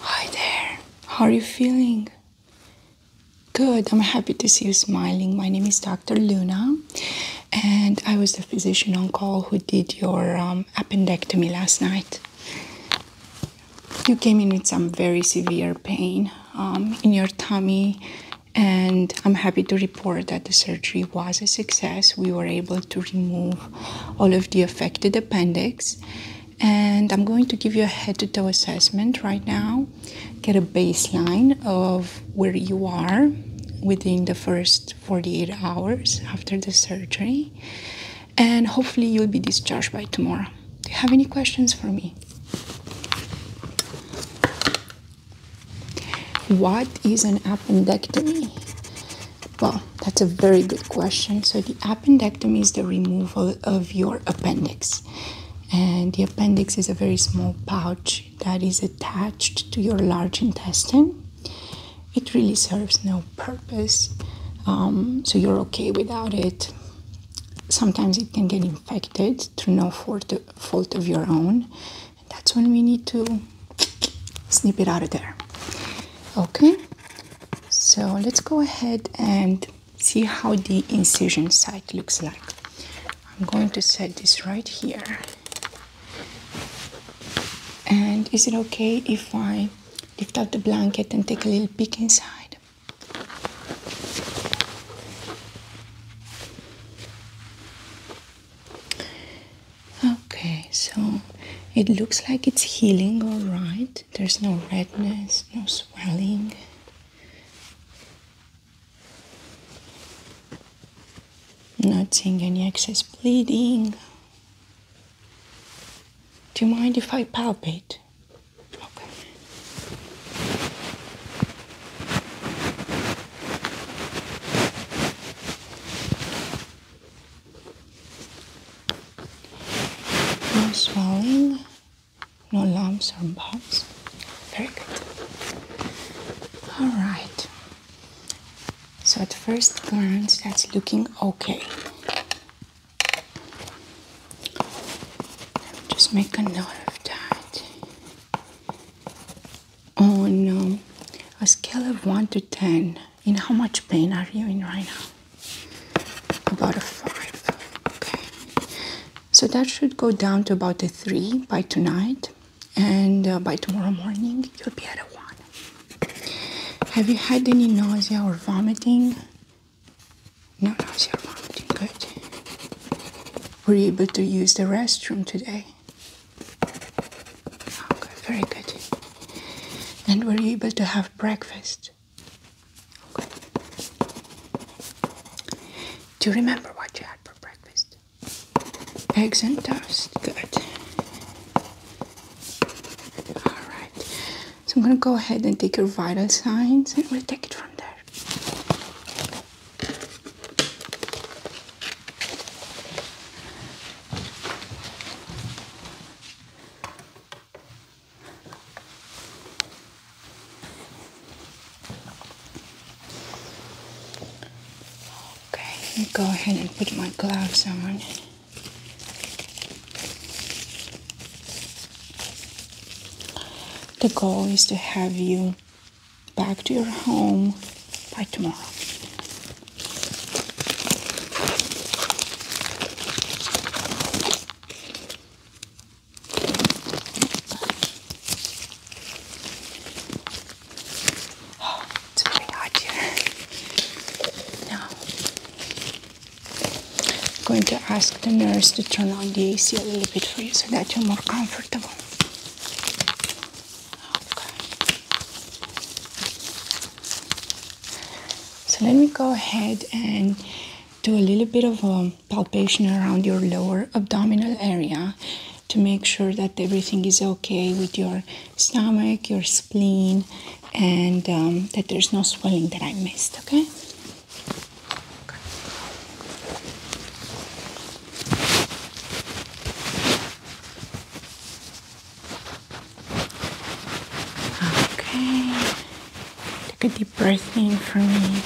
Hi there, how are you feeling? Good, I'm happy to see you smiling. My name is Dr. Luna, and I was the physician on call who did your um, appendectomy last night. You came in with some very severe pain um, in your tummy, and I'm happy to report that the surgery was a success. We were able to remove all of the affected appendix and I'm going to give you a head to toe assessment right now. Get a baseline of where you are within the first 48 hours after the surgery. And hopefully, you'll be discharged by tomorrow. Do you have any questions for me? What is an appendectomy? Well, that's a very good question. So, the appendectomy is the removal of your appendix, and the appendix is a very small pouch that is attached to your large intestine. It really serves no purpose, um, so you're okay without it. Sometimes it can get infected through no fault of your own. that's when we need to snip it out of there okay so let's go ahead and see how the incision side looks like i'm going to set this right here and is it okay if i lift out the blanket and take a little peek inside Okay, so it looks like it's healing all right. There's no redness, no swelling. Not seeing any excess bleeding. Do you mind if I palpate? No swelling, no lumps or bumps. Very good. All right. So at first glance, that's looking okay. Just make a note of that. Oh no! a scale of 1 to 10, in how much pain are you in right now? About a five. Okay. So that should go down to about a three by tonight, and uh, by tomorrow morning you'll be at a one. Have you had any nausea or vomiting? No nausea or vomiting. Good. Were you able to use the restroom today? Okay, oh, very good and were able to have breakfast. Do you remember what you had for breakfast? Eggs and toast. Good. Alright. So I'm going to go ahead and take your vital signs and we'll take it from there. Okay, let me go ahead and put my gloves on. The goal is to have you back to your home by tomorrow it's very hot here. Now, I'm going to ask the nurse to turn on the AC a little bit for you so that you're more comfortable. So let me go ahead and do a little bit of a palpation around your lower abdominal area to make sure that everything is okay with your stomach, your spleen, and um, that there's no swelling that I missed, okay? Okay. Take a deep breath in for me.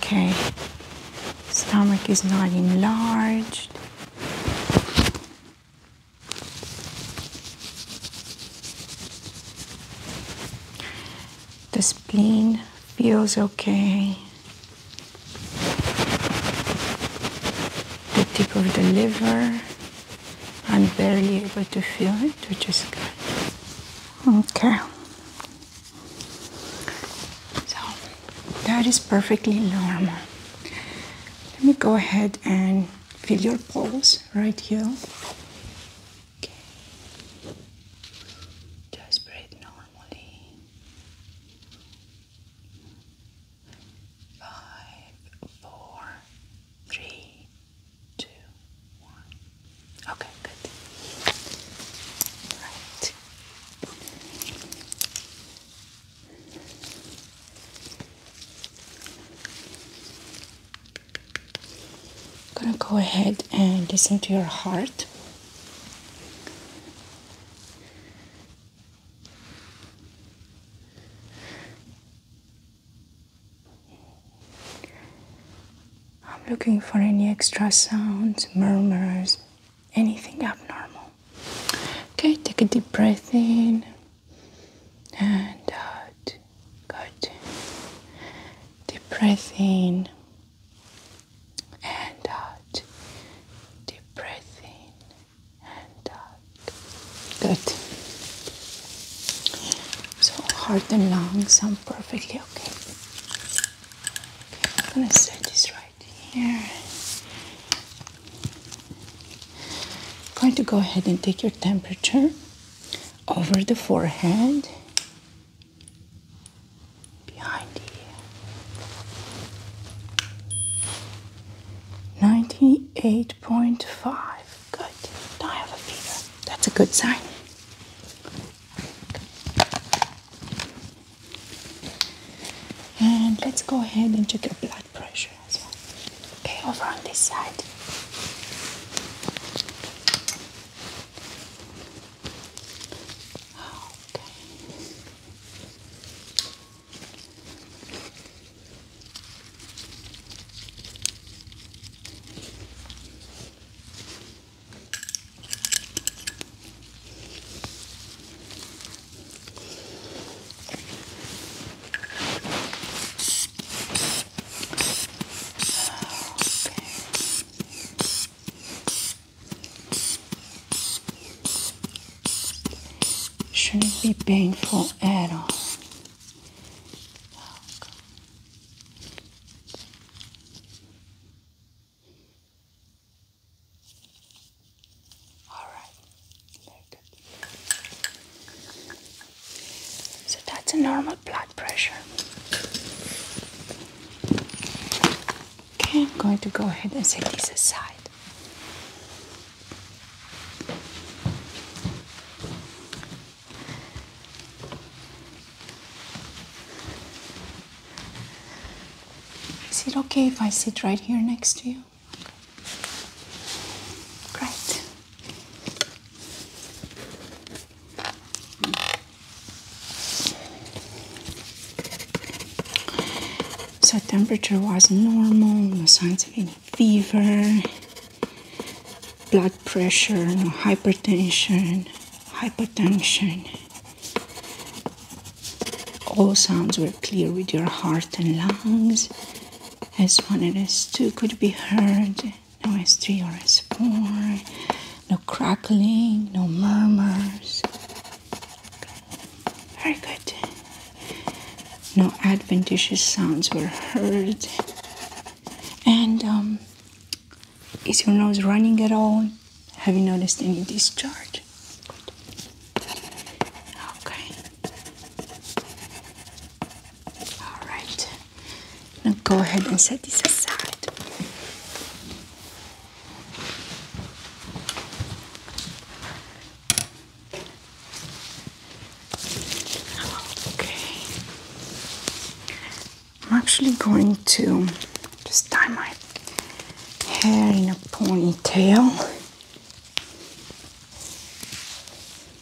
Okay. Stomach is not enlarged. The spleen feels okay. The tip of the liver, I'm barely able to feel it, which is good. Okay. So that is perfectly normal. Let me go ahead and feel your pulse right here. Okay. Just breathe normally. Five, four, three, two, one. Okay, good. Right. I'm gonna go ahead and listen to your heart. I'm looking for any extra sounds, murmurs, anything abnormal. Okay, take a deep breath in and out. Good. Deep breath in and out. Deep breath in and out. Good. So heart and lungs I'm perfectly okay I'm gonna set this right here. I'm going to go ahead and take your temperature over the forehead, behind the 98.5. Good. Don't have a fever. That's a good sign. And let's go ahead and take your blood pressure. Okay, over on this side. Okay. Shouldn't be painful at all. All right, so that's a normal blood pressure. Okay, I'm going to go ahead and set this aside. Is it okay if I sit right here next to you? Great. So temperature was normal, no signs of any fever, blood pressure, no hypertension, hypotension. All sounds were clear with your heart and lungs. As one and S two could be heard. No as three or as four. No crackling. No murmurs. Very good. No adventitious sounds were heard. And um, is your nose running at all? Have you noticed any discharge? Okay. All right. Now go ahead and set this aside. Okay. I'm actually going to just tie my hair in a ponytail.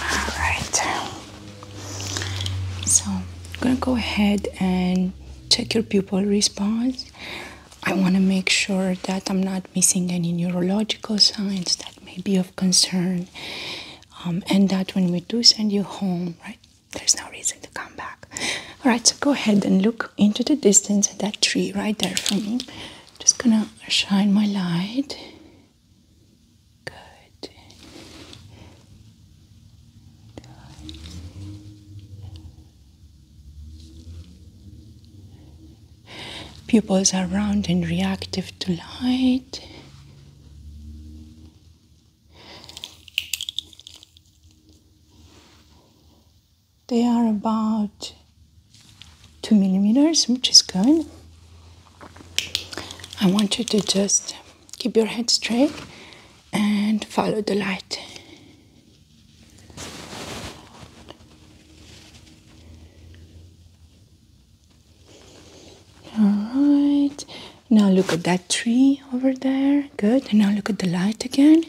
all right so i'm gonna go ahead and check your pupil response i want to make sure that i'm not missing any neurological signs that may be of concern um, and that when we do send you home right there's no reason to come back all right so go ahead and look into the distance at that tree right there for me just gonna shine my light Pupils are round and reactive to light. They are about two millimeters which is good I want you to just keep your head straight and follow the light all right now look at that tree over there good and now look at the light again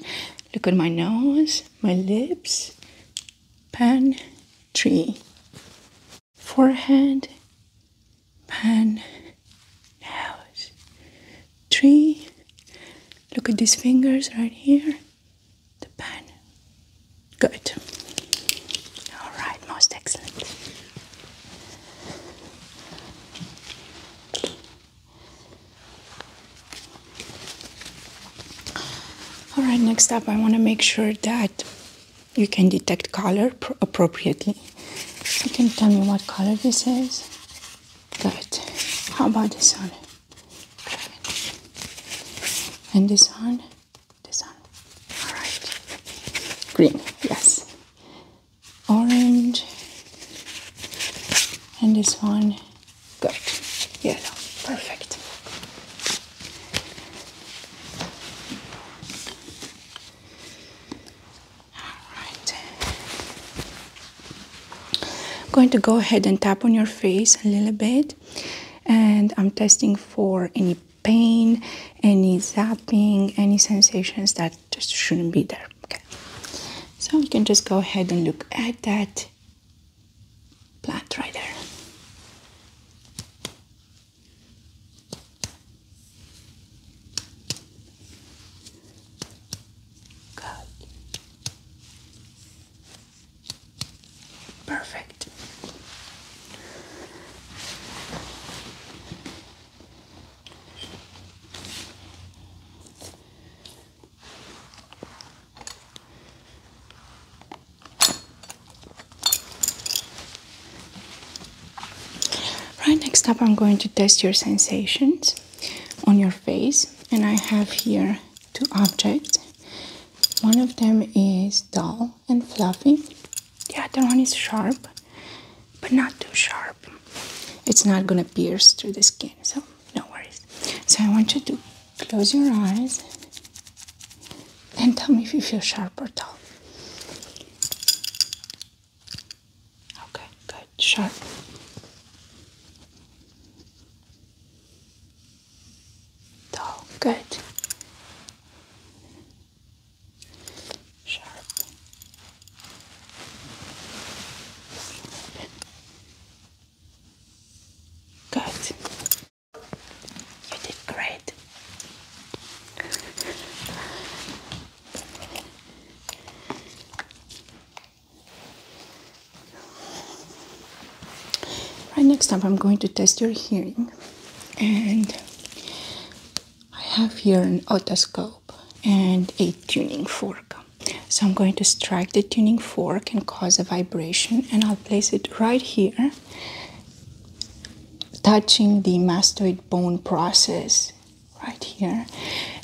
look at my nose my lips pen tree forehead, pan, nose, tree. Look at these fingers right here. The pan. Good. All right, most excellent. All right, next up, I want to make sure that you can detect color appropriately. You can tell me what color this is. Good. How about this one? And this one? This one. Alright. Green, yes. Orange. And this one. Good. Yellow. Perfect. Alright. I'm going to go ahead and tap on your face a little bit and I'm testing for any pain, any zapping, any sensations that just shouldn't be there. Okay. So you can just go ahead and look at that plant right there. Good. Perfect. Right, next up I'm going to test your sensations on your face and I have here two objects. One of them is dull and fluffy, the other one is sharp, but not too sharp. It's not gonna pierce through the skin, so no worries. So I want you to Close your eyes and tell me if you feel sharp or dull. Okay, good, sharp. Dull, good. Sharp. Good. You did great. Right next up, I'm going to test your hearing, and I have here an otoscope and a tuning fork. So I'm going to strike the tuning fork and cause a vibration, and I'll place it right here touching the mastoid bone process right here.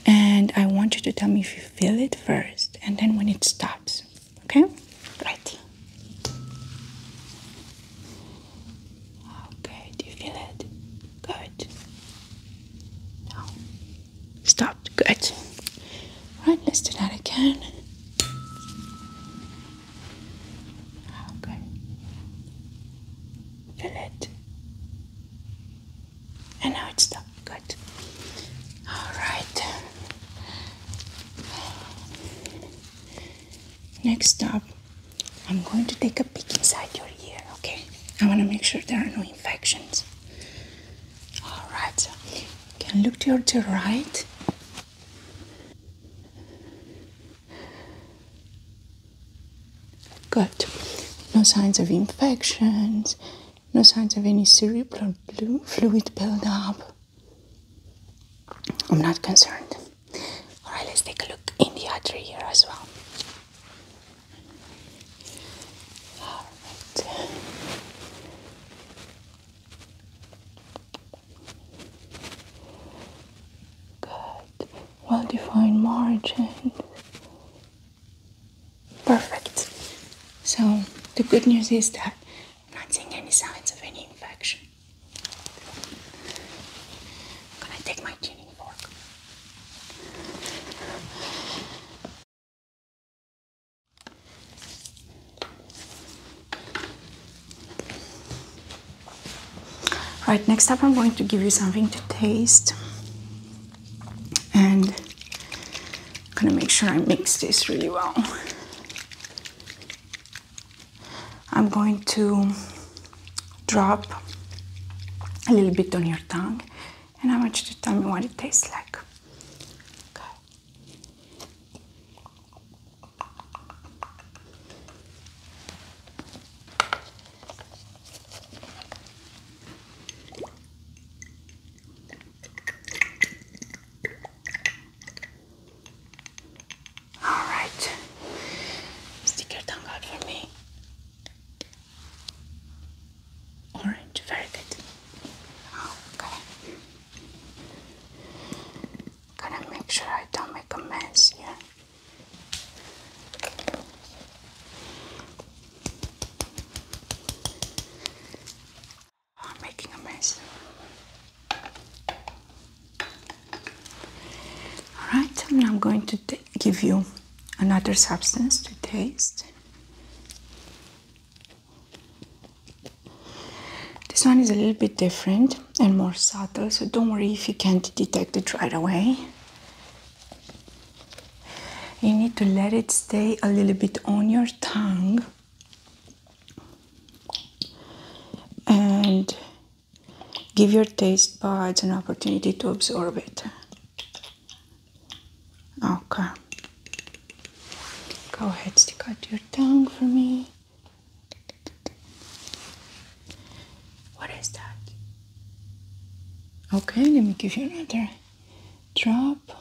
And I want you to tell me if you feel it first and then when it stops. Okay? Right. Okay, do you feel it? Good. No. Stopped. Good. Right, let's do that again. Okay. Fill it. And now it's done. Good. Alright. Next up, I'm going to take a peek inside your ear, okay? I want to make sure there are no infections. Alright, you can look to your right Good. No signs of infections, no signs of any cerebral fluid buildup. I'm not concerned. All right, let's take a look in the other ear as well. All right. Good. Well defined margin. Perfect. So the good news is that I'm not seeing any signs of any infection. i take my tuning fork. Right, next up I'm going to give you something to taste. And I'm gonna make sure I mix this really well. I'm going to drop a little bit on your tongue and I want you to tell me what it tastes like. All right, stick your tongue out for me. Orange, very good. Oh, okay going to make sure I don't make a mess here. I'm making a mess. Alright, and I'm going to give you another substance to taste. This one is a little bit different and more subtle, so don't worry if you can't detect it right away. You need to let it stay a little bit on your tongue and give your taste buds an opportunity to absorb it. Okay. Go ahead, stick out your tongue for me. What is that? Okay, let me give you another drop.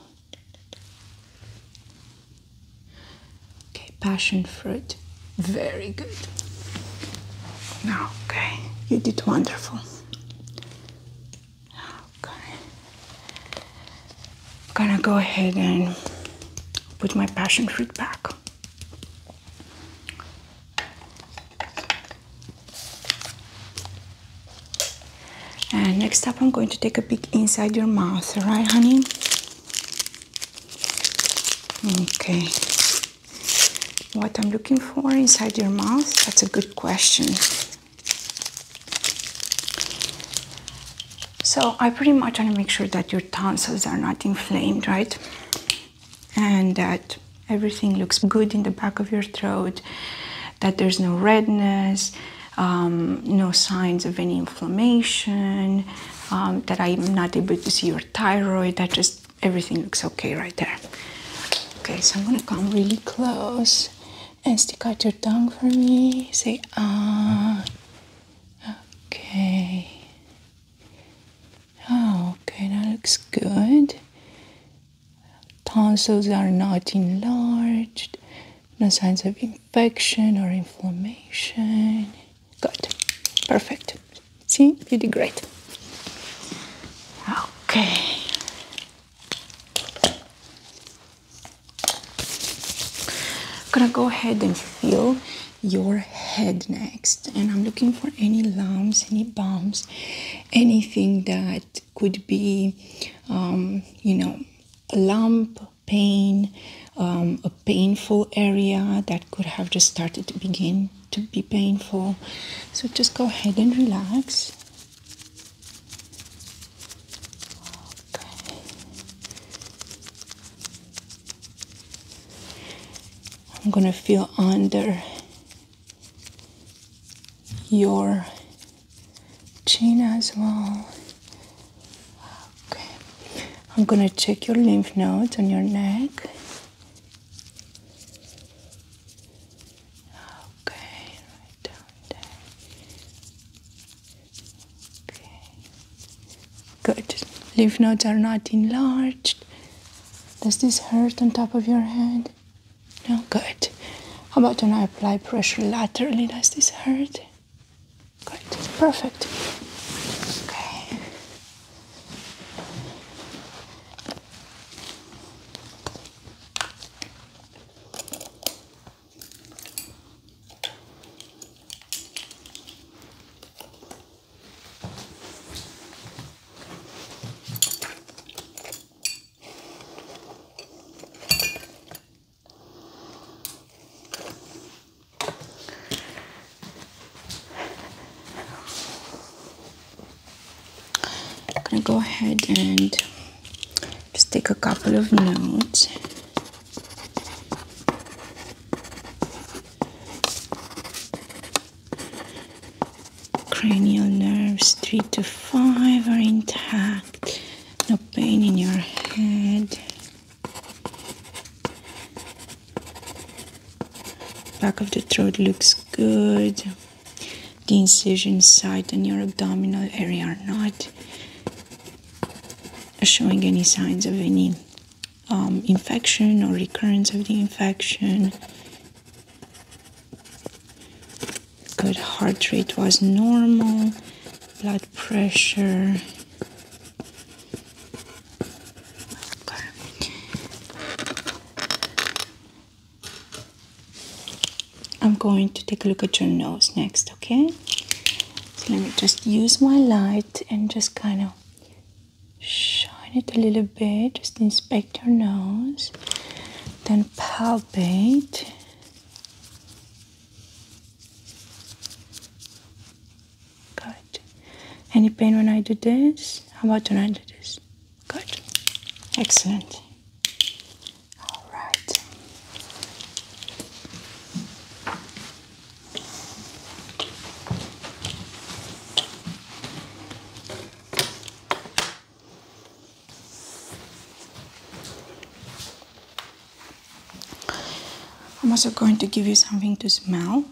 Okay, passion fruit. Very good. Okay, you did wonderful. I'm gonna go ahead and put my passion fruit back. And next up, I'm going to take a peek inside your mouth, all right, honey? Okay. What I'm looking for inside your mouth? That's a good question. So I pretty much want to make sure that your tonsils are not inflamed, right? And that everything looks good in the back of your throat, that there's no redness, um, no signs of any inflammation, um, that I'm not able to see your thyroid, that just everything looks okay right there. Okay, so I'm gonna come really close and stick out your tongue for me. Say ah. Okay. Ah, okay, that looks good. Tonsils are not enlarged. No signs of infection or inflammation. Good. Perfect. See, you did great. Okay. I'm gonna go ahead and feel your head next and I'm looking for any lumps, any bumps, anything that could be, um, you know, a lump, pain, um, a painful area that could have just started to begin to be painful. So just go ahead and relax. Okay. I'm going to feel under your chin as well. Okay. I'm going to check your lymph nodes on your neck. Okay, right down there. Good. Leaf nodes are not enlarged. Does this hurt on top of your head? No, good. How about when I apply pressure laterally? Does this hurt? Good, perfect. Okay. I'm gonna go ahead and just take a couple of notes. Cranial nerves three to five are intact, no pain in your head. Back of the throat looks good the incision site and your abdominal area are not showing any signs of any um, infection or recurrence of the infection. Good heart rate was normal, blood pressure. I'm going to take a look at your nose next, okay? let me just use my light and just kind of shine it a little bit, just inspect your nose, then palpate. Good. Any pain when I do this? How about when I do this? Good. Excellent. All right. I'm also going to give you something to smell.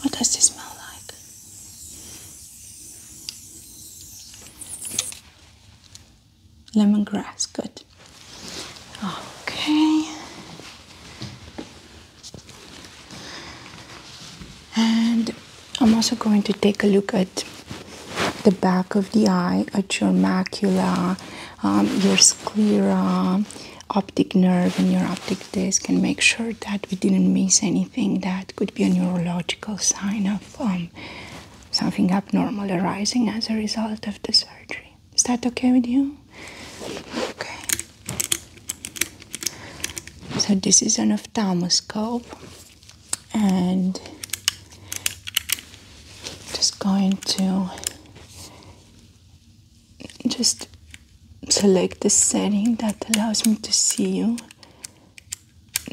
What does this smell like? lemongrass good okay and I'm also going to take a look at the back of the eye at your macula um, your sclera optic nerve and your optic disc and make sure that we didn't miss anything think that could be a neurological sign of um, something abnormal arising as a result of the surgery. Is that okay with you? Okay. So, this is an ophthalmoscope, and just going to just select the setting that allows me to see you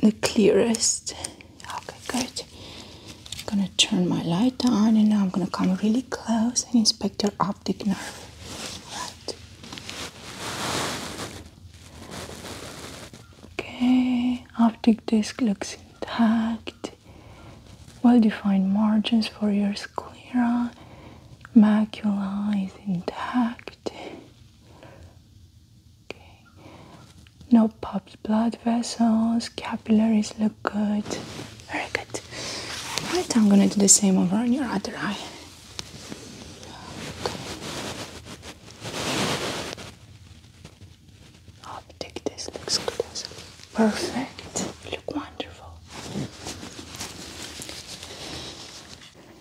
the clearest. Okay, good. I'm gonna turn my light on and now I'm gonna come really close and inspect your optic nerve. Right. Okay, optic disc looks intact. Well-defined margins for your sclera. Macula is intact. No popped blood vessels, capillaries look good. Very good. Right, I'm gonna do the same over on your other eye. Optic, this looks good. Perfect. You look wonderful.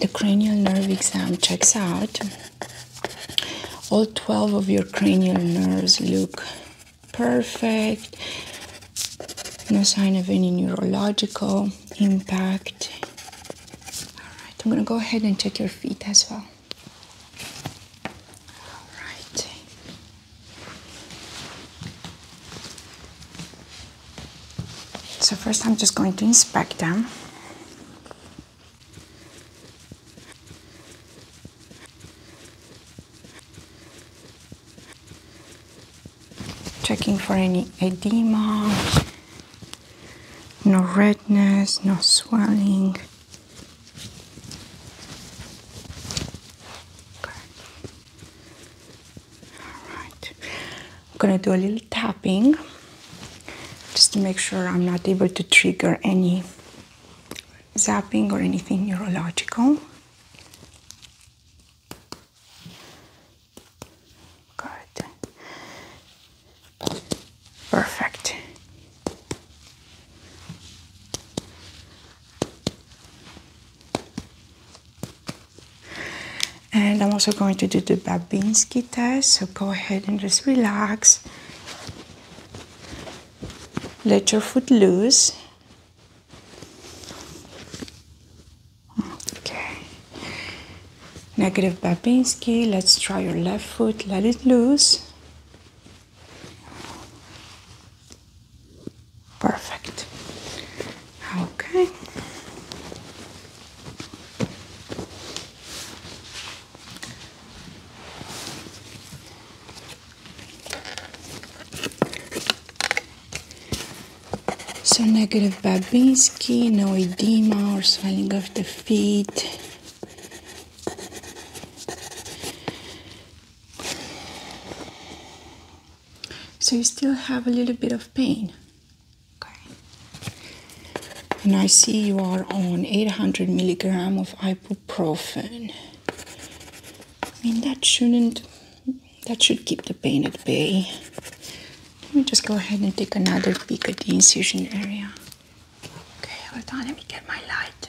The cranial nerve exam checks out. All 12 of your cranial nerves look perfect. No sign of any neurological impact. All right, I'm gonna go ahead and check your feet as well. All right. So first I'm just going to inspect them. Checking for any edema, no redness, no swelling. Okay right. I'm going to do a little tapping just to make sure I'm not able to trigger any zapping or anything neurological. Good. Perfect. And I'm also going to do the Babinski test. So go ahead and just relax. Let your foot loose. Okay. Negative Babinski. Let's try your left foot. Let it loose. Perfect. Okay. So negative Babinski, no edema or swelling of the feet. So you still have a little bit of pain. Okay. And I see you are on 800 milligram of ibuprofen. I mean that shouldn't that should keep the pain at bay. Let me just go ahead and take another peek at the incision area. Okay, hold on, let me get my light.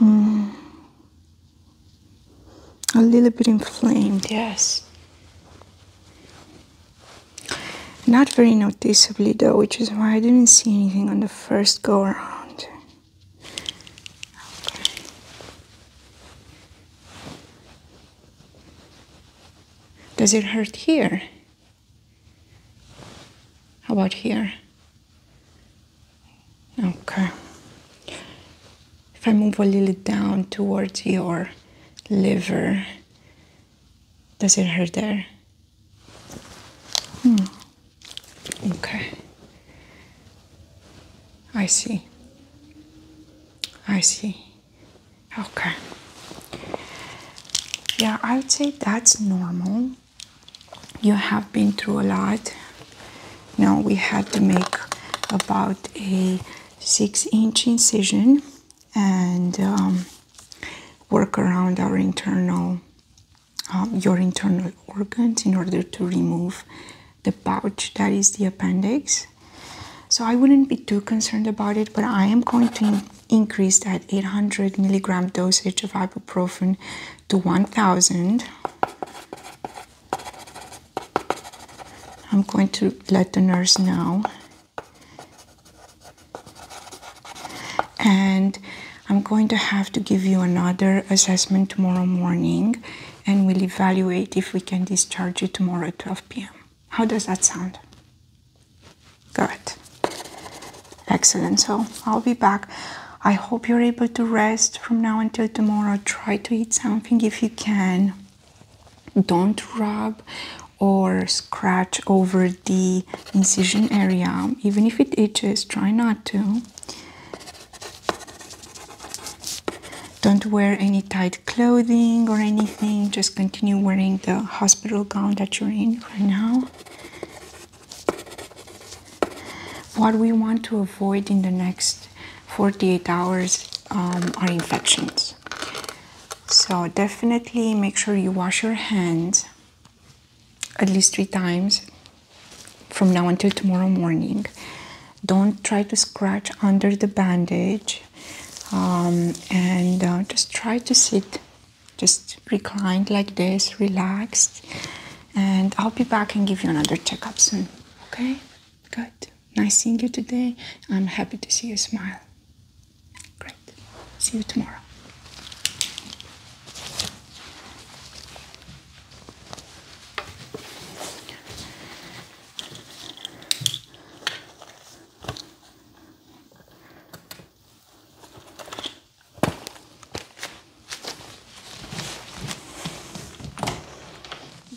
Mm. A little bit inflamed, yes. Not very noticeably though, which is why I didn't see anything on the first go around. Does it hurt here? How about here? Okay. If I move a little down towards your liver, does it hurt there? Hmm. Okay. I see. I see. Okay. Yeah, I would say that's normal. You have been through a lot. Now we had to make about a six inch incision and um, work around our internal, um, your internal organs in order to remove the pouch that is the appendix. So I wouldn't be too concerned about it, but I am going to Increase that 800 milligram dosage of ibuprofen to 1000. I'm going to let the nurse know. And I'm going to have to give you another assessment tomorrow morning and we'll evaluate if we can discharge you tomorrow at 12 p.m. How does that sound? Good. Excellent. So I'll be back. I hope you're able to rest from now until tomorrow. Try to eat something if you can. Don't rub or scratch over the incision area. Even if it itches, try not to. Don't wear any tight clothing or anything. Just continue wearing the hospital hospital gown that you're in right now. What we want to avoid in the next 48 hours um, are infections. So definitely make sure you wash your hands at least three times from now until tomorrow morning. Don't try to scratch under the bandage um, and uh, just try to sit just reclined like this, relaxed, and I'll be back and give you another checkup soon. Okay? Good. Nice seeing you today. I'm happy to see you smile. Great. See you tomorrow.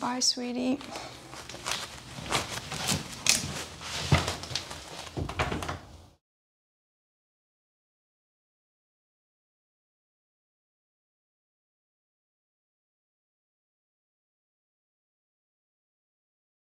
Bye, sweetie.